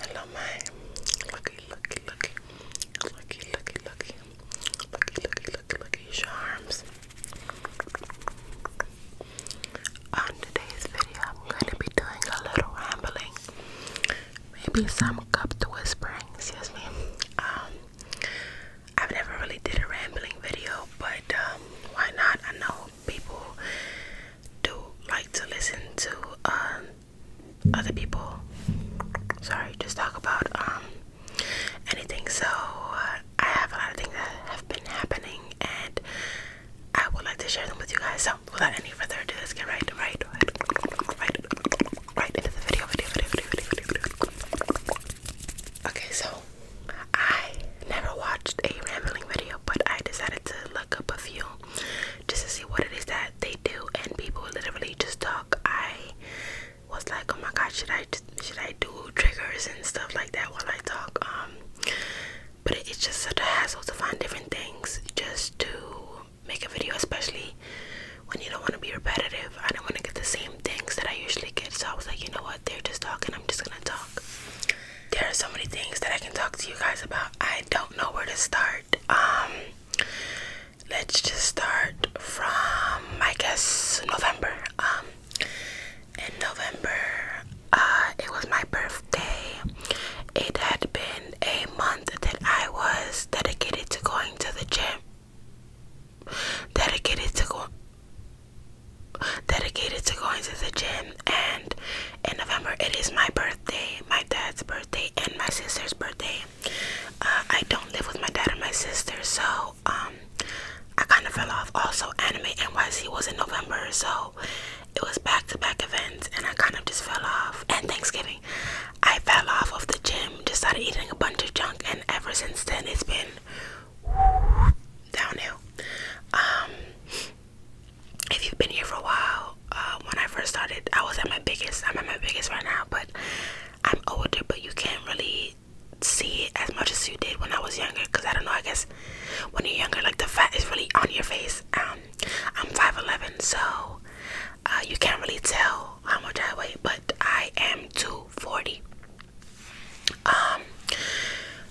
Hello, my lucky, lucky, lucky, lucky, lucky, lucky, lucky, lucky, lucky, lucky charms. On today's video, I'm going to be doing a little rambling, maybe some cup to whispering. Excuse me. Um, I've never really did a rambling video, but um, why not? I know people do like to listen to um, other people. Sorry, just talk about um, anything. So uh, I have a lot of things that have been happening, and I would like to share them with you guys. So without any further ado, let's get right, right, right, right, into the video. Okay, so I never watched a rambling video, but I decided to look up a few just to see what it is that they do, and people literally just talk. I was like, oh my god, should I should I do triggers and stuff like that while I talk? Um, but it's just such a hassle to find different things just to make a video, especially when you don't want to be repetitive I don't want to get the same things that I usually get. So I was like, you know what? They're just talking. I'm just going to talk. There are so many things that I can talk to you guys about. I don't know where to start. Um, let's just start from, I guess, November. Um, in November, uh, it was my birthday. It had been a month that I was dedicated to going to the gym dedicated to go dedicated to going to the gym and in November it is my birthday, my dad's birthday and my sister's birthday. Uh, I don't live with my dad and my sister so um I kind of fell off. Also anime NYC was in November so it was back to back events and I kind of just fell off. And Thanksgiving I fell off of the gym, just started eating a bunch of junk and ever since then it's been downhill. Um, if you've been here for a while, uh, when I first started, I was at my biggest. I'm at my biggest right now, but I'm older, but you can't really see it as much as you did when I was younger. Cause I don't know. I guess when you're younger, like the fat is really on your face. Um, I'm five eleven, so uh, you can't really tell how much I weigh, but I am two forty. Um,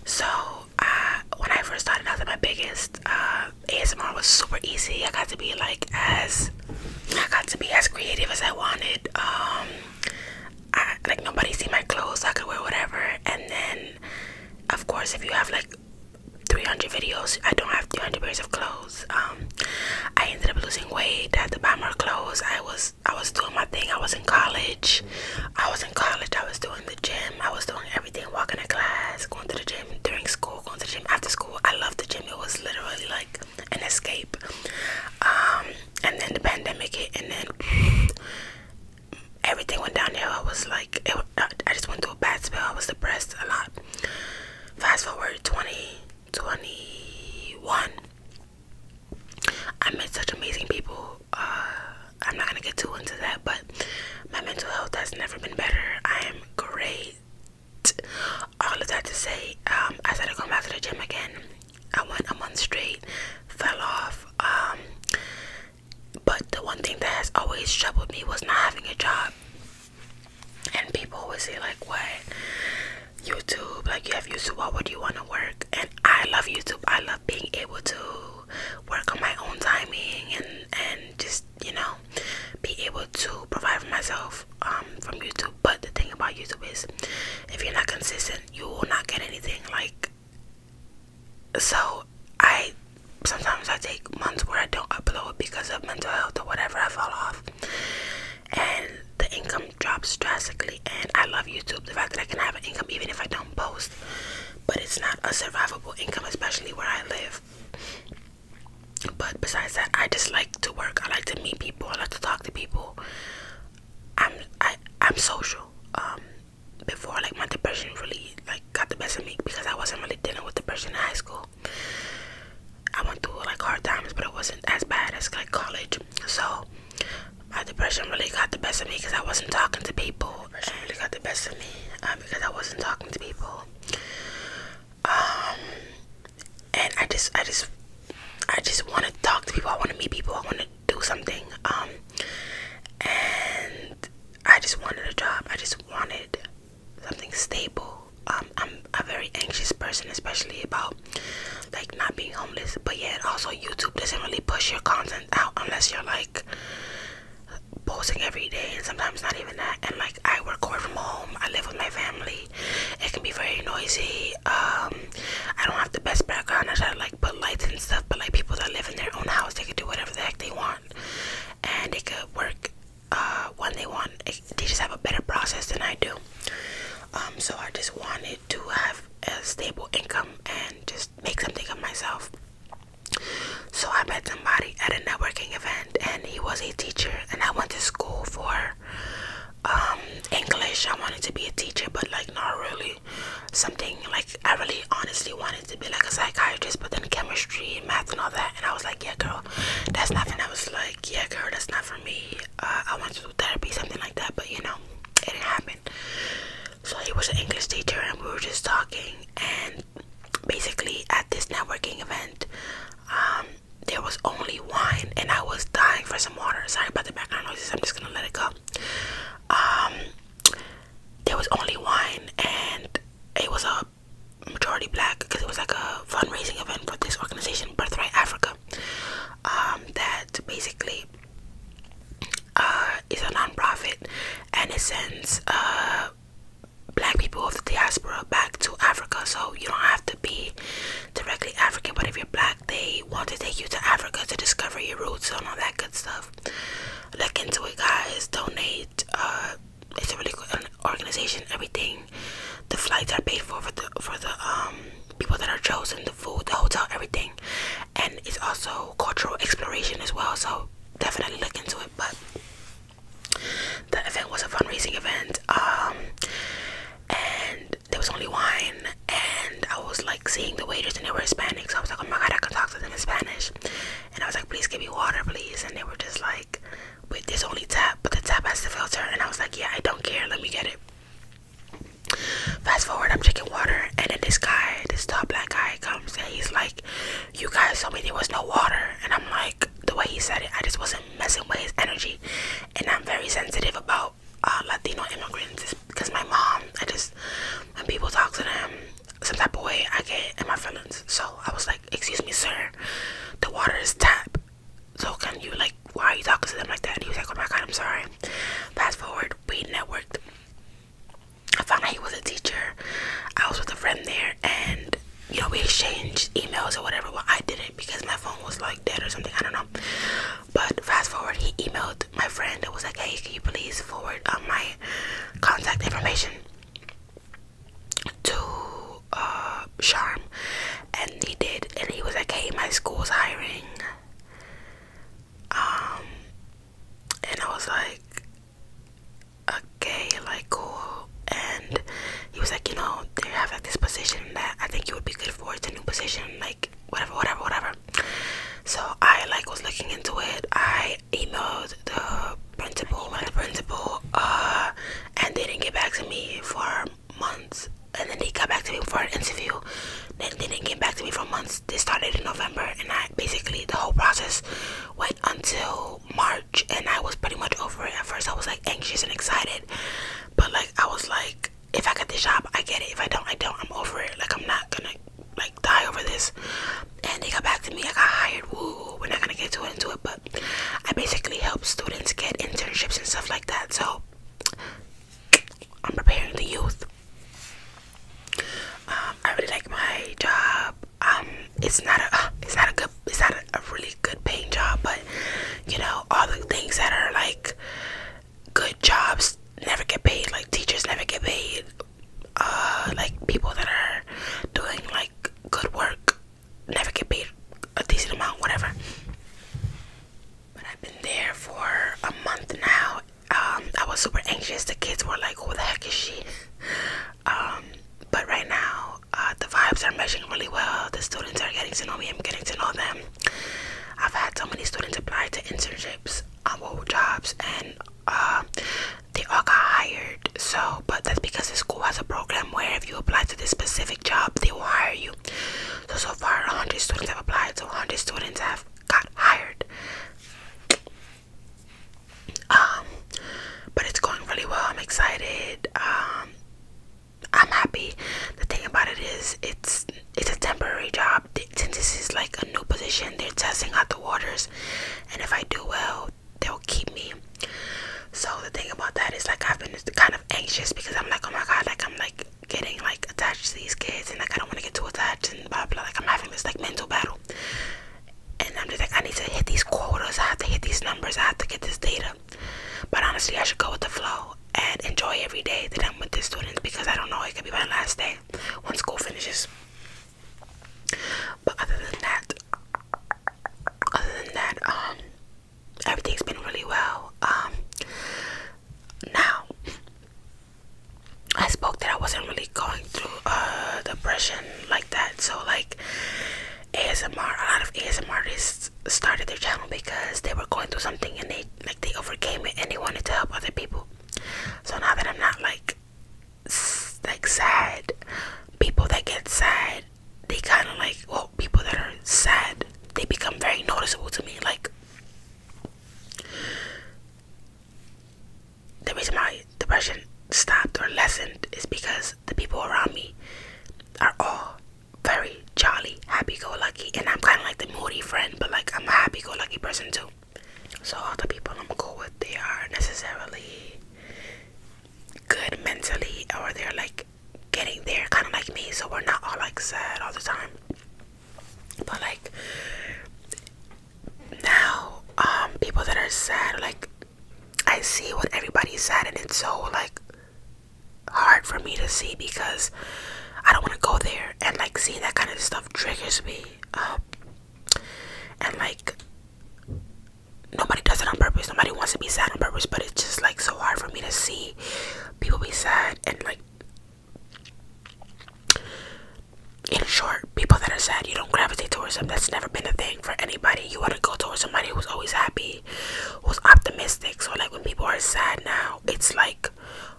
so uh, when I first started out, that my biggest uh, ASMR was super easy. I got to be like as I got to be as creative as I wanted. Um, I, like nobody see my clothes. I could wear whatever. And then, of course, if you have like 300 videos, I don't have 300 pairs of clothes. Um, I ended up losing weight. I had to buy more clothes. I was I was doing my thing. I was in college. I was in college. I was doing the gym. I was doing everything. Walking to class, going to the gym during school, going to the gym after school. I loved the gym. It was literally like an escape. Um, and then the pandemic hit, and then everything went downhill. I was like, it, I just went through a bad spell. I was depressed a lot. Fast forward 20 21 i met such amazing people uh, i'm not gonna get too into that but my mental health has never been better i am great all of that to say um i started going back to the gym again i went a month straight fell off um, but the one thing that has always troubled me was not having a job and people always say like what YouTube, like you have YouTube, what would you want to work? And I love YouTube. I love being able to work on my own timing and and just you know be able to provide for myself um, from YouTube. But the thing about YouTube is, if you're not consistent, you will not get anything. Like so, I sometimes I take months where I don't upload because of mental health or whatever. I fall off and the income drops drastically. And I love YouTube, the fact that I can have an income even if I don't post, but it's not a survivable income, especially where I live. But besides that, I just like to work. I like to meet people. I like to talk to people. I'm I I'm social. Um, before like my depression really like got the best of me because I wasn't really dealing with the depression in high school. I went through like hard times, but it wasn't as bad as like college. So my depression really got the best of me because I wasn't talking to people. Depression really got the best of me uh, because I wasn't talking to people. Um, and I just, I just, I just want to talk to people. I want to meet people. I want to do something. Um, and I just wanted a job. I just wanted something stable I'm a very anxious person, especially about like not being homeless. But yet, also YouTube doesn't really push your content out unless you're like posting every day, and sometimes not even that. And like I work from home, I live with my family. It can be very noisy. Um, I don't have the best background. I try to like put lights and stuff, but like people that live in their own house, they can do whatever the heck they want, and they could work uh, when they want. They just have a better process than I do. Um, so I just wanted to have a stable income and just make something of myself. So I met somebody at a networking event, and he was a teacher. And I went to school for um, English. I wanted to be a teacher, but like not really something like I really honestly wanted to be like a psychiatrist. But then chemistry, math, and all that. And I was like, yeah, girl, that's nothing. I was like, yeah, girl, that's not for me uh, I wanted to do therapy, something like that, but you know, it didn't happen. So he was an English teacher, and we were just talking. And basically, at this networking event, um, there was only wine, and I was dying for some water. Sorry about the background noise. I'm just gonna let it go. Um, there was only wine, and it was a majority black because it was like a fundraising event for this organization, Birthright Africa. Um, that basically uh, is a non-profit and it sends uh, black people of the diaspora back to Africa. So you don't have to be directly African, but if you're black, they want to take you to Africa to discover your roots and all that good stuff. Look into it, guys. Donate. Uh, it's a really good organization. Everything the flights are paid for for the um, people that are chosen, the food, the hotel, everything, and it's also cultural exploration as well. So definitely look into it. But the event was a fundraising event, um, and there was only wine, and I was like seeing the waiters, and they were Hispanic, so I was like, oh my god, I can talk to them in Spanish, and I was like, please give me water, please, and they were just like with this only tap, but the tap has the filter. And I was like, yeah, I don't care. Let me get it. Fast forward, I'm drinking water, and then this guy, this tall black guy, comes and he's like, "You guys told me there was no water," and I'm like, the way he said it, I just wasn't messing with his energy, and I'm very sensitive about uh, Latino immigrants because my mom, I just when people talk to them some type of way, I get in my feelings. So I was like, "Excuse me, sir, the water is tap," so can you like why are you talking to them like that and he was like oh my god i'm sorry fast forward we networked i found out he was a teacher i was with a friend there and you know we exchanged emails or whatever well i didn't because my phone was like dead or something i don't know but fast forward he emailed my friend and was like hey can you please forward um, my contact information to Charm uh, and he did and he was like, Hey, my school's hiring Um and I was like Okay, like cool and he was like, you know, they have like this position that I think you would be good for, it's a new position, like whatever, whatever, whatever. So I like was looking into it. I emailed the principal and the principal uh and they didn't get back to me for months and then they got back to me for an interview then they didn't get back to me for months they started in november and i basically the whole process went until march and i was pretty much over it at first i was like anxious and excited but like i was like if i get the job i get it if i don't i don't i'm over it like i'm not gonna like die over this and they got back to me i got hired woo we're not gonna get to into it but I basically help students get internships and stuff like that. So I'm preparing the youth. Um, I really like my job. Um, it's not a, uh, it's not a good, it's not a, really good paying job, but you know, all the things that are like good jobs never get paid. Like teachers never get paid. Uh, like people that are doing like good work never get paid a decent amount, whatever. But I've been there for a month now. Um, I was super anxious. The kids were like, "Who the heck is she?" Um, but right now, uh, the vibes are meshing really well. The students are getting to know me. I'm getting to know them. I've had so many students apply to internships, um, jobs, and uh, they all got hired. So but that's because the school has a program where if you apply to this specific job, they will hire you. So, so far, 100 students have applied, so 100 students have got hired. Um, but it's going really well. I'm excited. Um, I'm happy. The thing about it is, it's it's a temporary job. Since this is like a new position, they're testing out the waters, and if I do well, they'll keep me. So the thing about that is like I've been kind of anxious because I'm like, oh my god, like I'm like getting like attached to these kids and like I don't want to get too attached and blah blah. Like I'm having this like mental battle, and I'm just like I need to hit these quotas. I have to hit these numbers. I have to get this data. But honestly, I should go with the flow and enjoy every day that I'm with the students because I don't know it could be my last day when school finishes. But other than that, other than that, um, everything's been really well. Um, now, I spoke that I wasn't really going through uh, depression like that. So, like, ASMR, a lot of ASMR artists started their channel because they were going through something and they like they overcame it and they wanted to help other people. So now that I'm not like like sad people that get sad they kind of like, well, people that are sad, they become very noticeable to me. Like, the reason my depression stopped or lessened is because the people around me are all very jolly, happy go lucky. And I'm kind of like the moody friend, but like, I'm a happy go lucky person too. So, all the people I'm cool with, they are necessarily good mentally or they're like getting there kind of like me so we're not all like sad all the time but like now um people that are sad like i see what everybody's sad and it's so like hard for me to see because i don't want to go there and like seeing that kind of stuff triggers me up and like nobody does it on purpose. Nobody wants to be sad on purpose, but it's just like so hard for me to see people be sad and like in short, people that are sad, you don't gravitate towards them. That's never been a thing for anybody. You want to go towards somebody who's always happy, who's optimistic. So like when people are sad now, it's like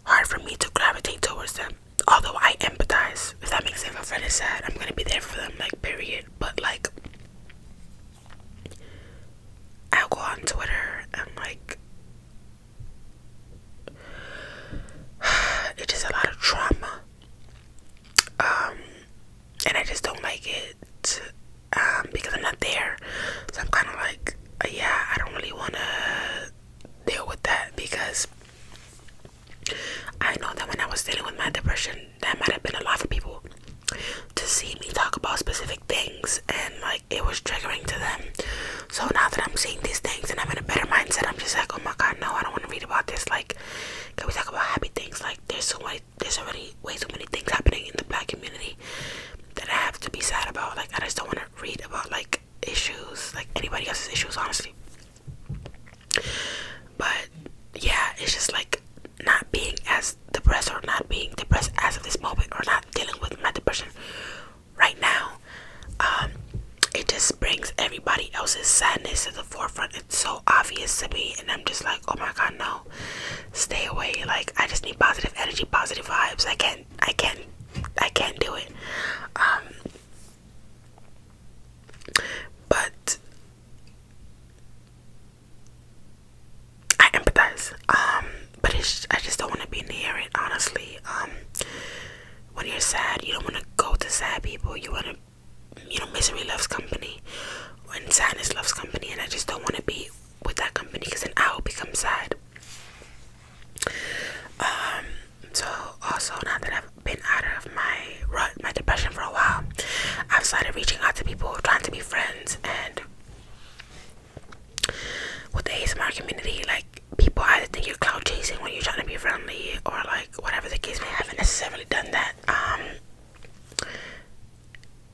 hard for me to gravitate towards them. Although I empathize, if that makes sense. If I'm sad, I'm gonna be there for them, like period. But like I'll go on Twitter and like it is just a lot of trauma. Um and I just don't like it um because I'm not there. So I'm kinda like uh, yeah, I don't really wanna deal with that because I know that when I was dealing with my depression, that might have been a lot for people to see me talk about specific things and like it was triggering to them. So now that I'm seeing these things and I'm in a better mindset, I'm just like, oh my god, no, I don't want to read about this. Like, can we talk about happy things? Like, there's so many, there's already way too many things happening in the black community that I have to be sad about. Like, I just don't want to read about like issues, like anybody else's issues, honestly. But yeah, it's just like not being as depressed or not being depressed as of this moment or not dealing with my depression right now. Um, it just brings everybody else's sadness to the forefront. It's so obvious to me, and I'm just like, oh my god, no, stay away. Like I just need positive energy, positive vibes. I can't, I can't, I can't do it. Um, but I empathize. Um, but it's, I just don't want to be near it, honestly. Um, when you're sad, you don't want to go to sad people. You want to, you know, misery loves company, and sadness loves company. And I just don't want to be with that company because then I will become sad. Um, so also now that I've been out of my rut, my depression for a while, I've started reaching out to people, trying to be friends, and with the ASMR community, like people either think you're cloud chasing when you're trying to be friendly, or like whatever the case may have. I haven't necessarily done that. Um,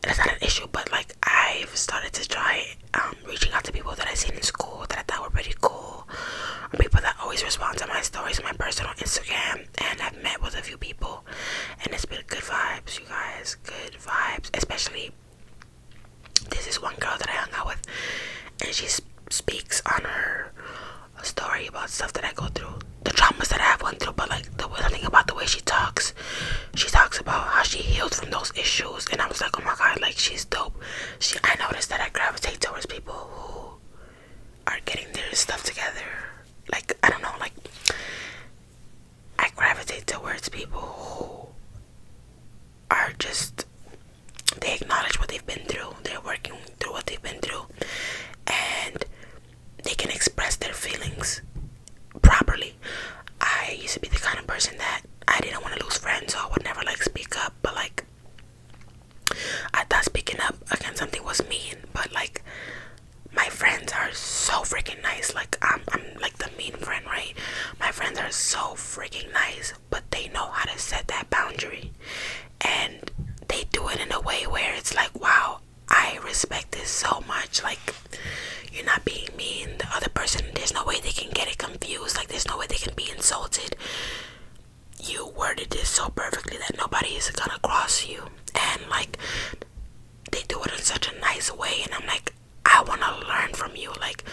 that's not an issue, but like I've started to try um, reaching out to people that I've seen in school that I thought were pretty cool, or people that always respond to my stories, my personal Instagram, and I've met with a few people, and it's been good vibes, you guys. Good vibes, especially. This is one girl that I hung out with, and she speaks on her story about stuff that I go through, the traumas that I've went through. But like the thing about the way she talks, she talks about how she healed from those issues, and I was like, oh my god, like she's dope. She, I noticed that I gravitate towards people who are getting their stuff together. Like I don't know, like I gravitate towards people who are just they acknowledge what they've been through, they're working through what they've been through, and they can express their feelings properly. I used to be the kind of person that I didn't want to lose friends, so I would never like speak up, but like I thought speaking up against something was mean, but like my friends are so freaking nice. Like I'm, I'm like the mean friend, right? My friends are so freaking nice, but they know how to set that boundary, and they do it in a way where it's like, wow, I respect this so much. Like you're not being mean. The other person, there's no way they can get it confused. Like there's no way they can be insulted you worded this so perfectly that nobody is gonna cross you and like they do it in such a nice way and i'm like i want to learn from you like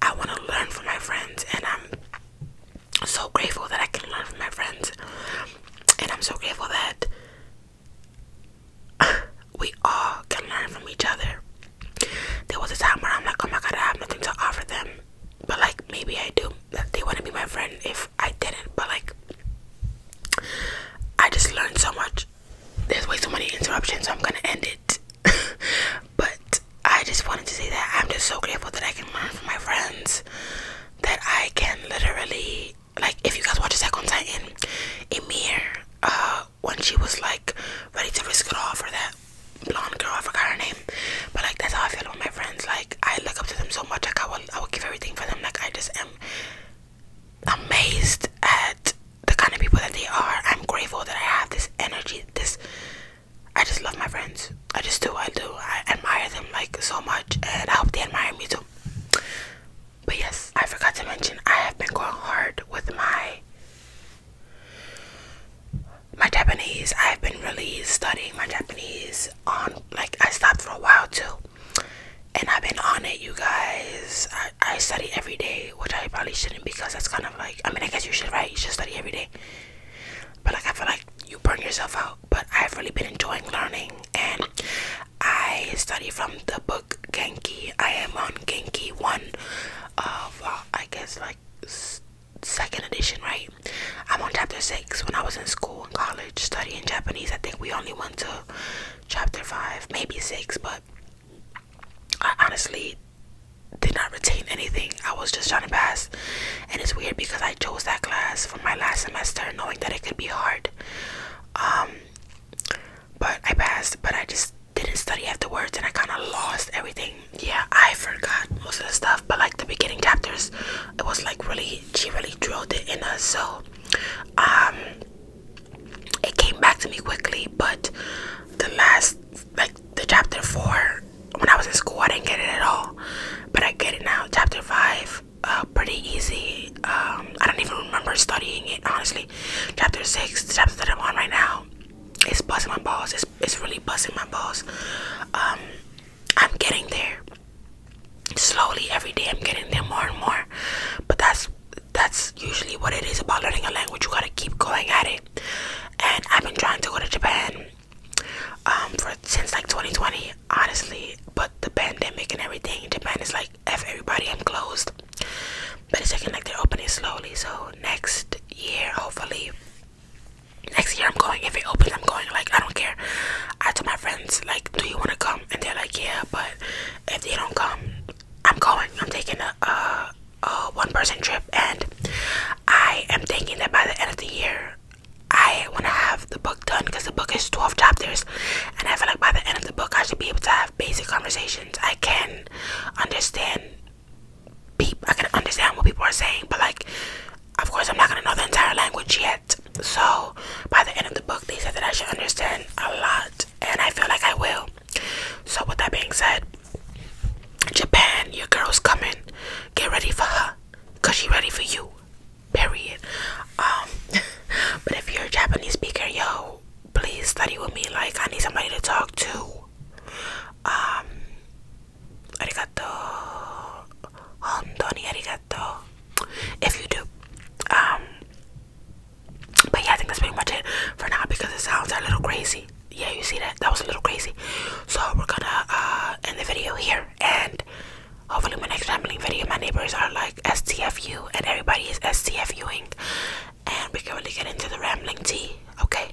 i want to learn from my friends and i'm so grateful that i can learn from my friends and i'm so grateful that we all can learn from each other there was a time where i'm like oh my god i have nothing to offer them but like maybe I do. They want to be my friend if I didn't, but like I just learned so much. There's way too many interruptions, I'm gonna end it. but I just wanted to say that I'm just so grateful that I can learn from my friends. That I can literally like if you guys watch Attack on Titan, Emir, uh, when she was like ready to risk it all for that blonde girl, I forgot her name. But like that's how I feel with my friends. Like I look up to them so much. Like I will I will give everything for them. Like I just am amazed at the kind of people that they are. I'm grateful that I have this energy, this I just love my friends. I just do, I do. I admire them like so much and I hope they admire me too. But yes, I forgot to mention I have been going hard with my my Japanese. I've been really studying my Japanese on like I stopped for a while too. And I've been on it, you guys. I, I study every day, which I probably shouldn't because that's kind of like, I mean, I guess you should, right? You should study every day. But like, I feel like you burn yourself out. But I've really been enjoying learning. And I study from the book Genki. I am on Genki 1 of, I guess, like, second edition, right? I'm on chapter six. When I was in school and college studying Japanese, I think we only went to chapter five, maybe six, but I honestly did not retain anything. I was just trying to pass, and it's weird because I chose that class for my last semester, knowing that it could be hard. Um, but I passed, but I just didn't study afterwards, and I kind of lost everything yeah, I forgot most of the stuff, but like the beginning chapters, it was like really she really drilled it in us. So, um, it came back to me quickly. But the last, like the chapter four, when I was in school, I didn't get it at all. But I get it now. Chapter five, uh, pretty easy. Um, I don't even remember studying it honestly. Chapter six, the chapter that I'm on right now, it's busting my balls. It's it's really busting my balls. Um, I'm getting there. Slowly every day I'm getting there more and more. But that's that's usually what it is about learning a language. You gotta keep going at it. And I've been trying to go to Japan um for since like 2020, honestly. But the pandemic and everything, Japan is like F everybody, i closed. But it's looking like they're opening slowly. So next year hopefully next year I'm going. If it opens, I'm going. Like I don't care. I told my friends like, do you want to come? And they're like, yeah. But if they don't come, I'm going. I'm taking a, a, one-person trip, and I am thinking that by the end of the year, I want to have the book done because the book is 12 chapters, and I feel like by the end of the book, I should be able to have basic conversations. I can understand peep. I can understand what people are saying, but like, of course, I'm not gonna know the entire language yet. So by the end of the book, they said that I should understand a lot, and I feel like I will. So with that being said, Japan, your girl's coming. Get ready for her, cause she ready for you. Period. Um, but if you're a Japanese speaker, yo, please study with me. Like, I need somebody to talk to. Um, arigato. Hondoni arigato. If you do. Um but yeah, I think that's pretty much it for now because it sounds a little crazy. Yeah, you see that? That was a little crazy. So we're gonna uh, end the video here, and hopefully my next rambling video, my neighbors are like STFU, and everybody is STFUing, and we can really get into the rambling tea. Okay,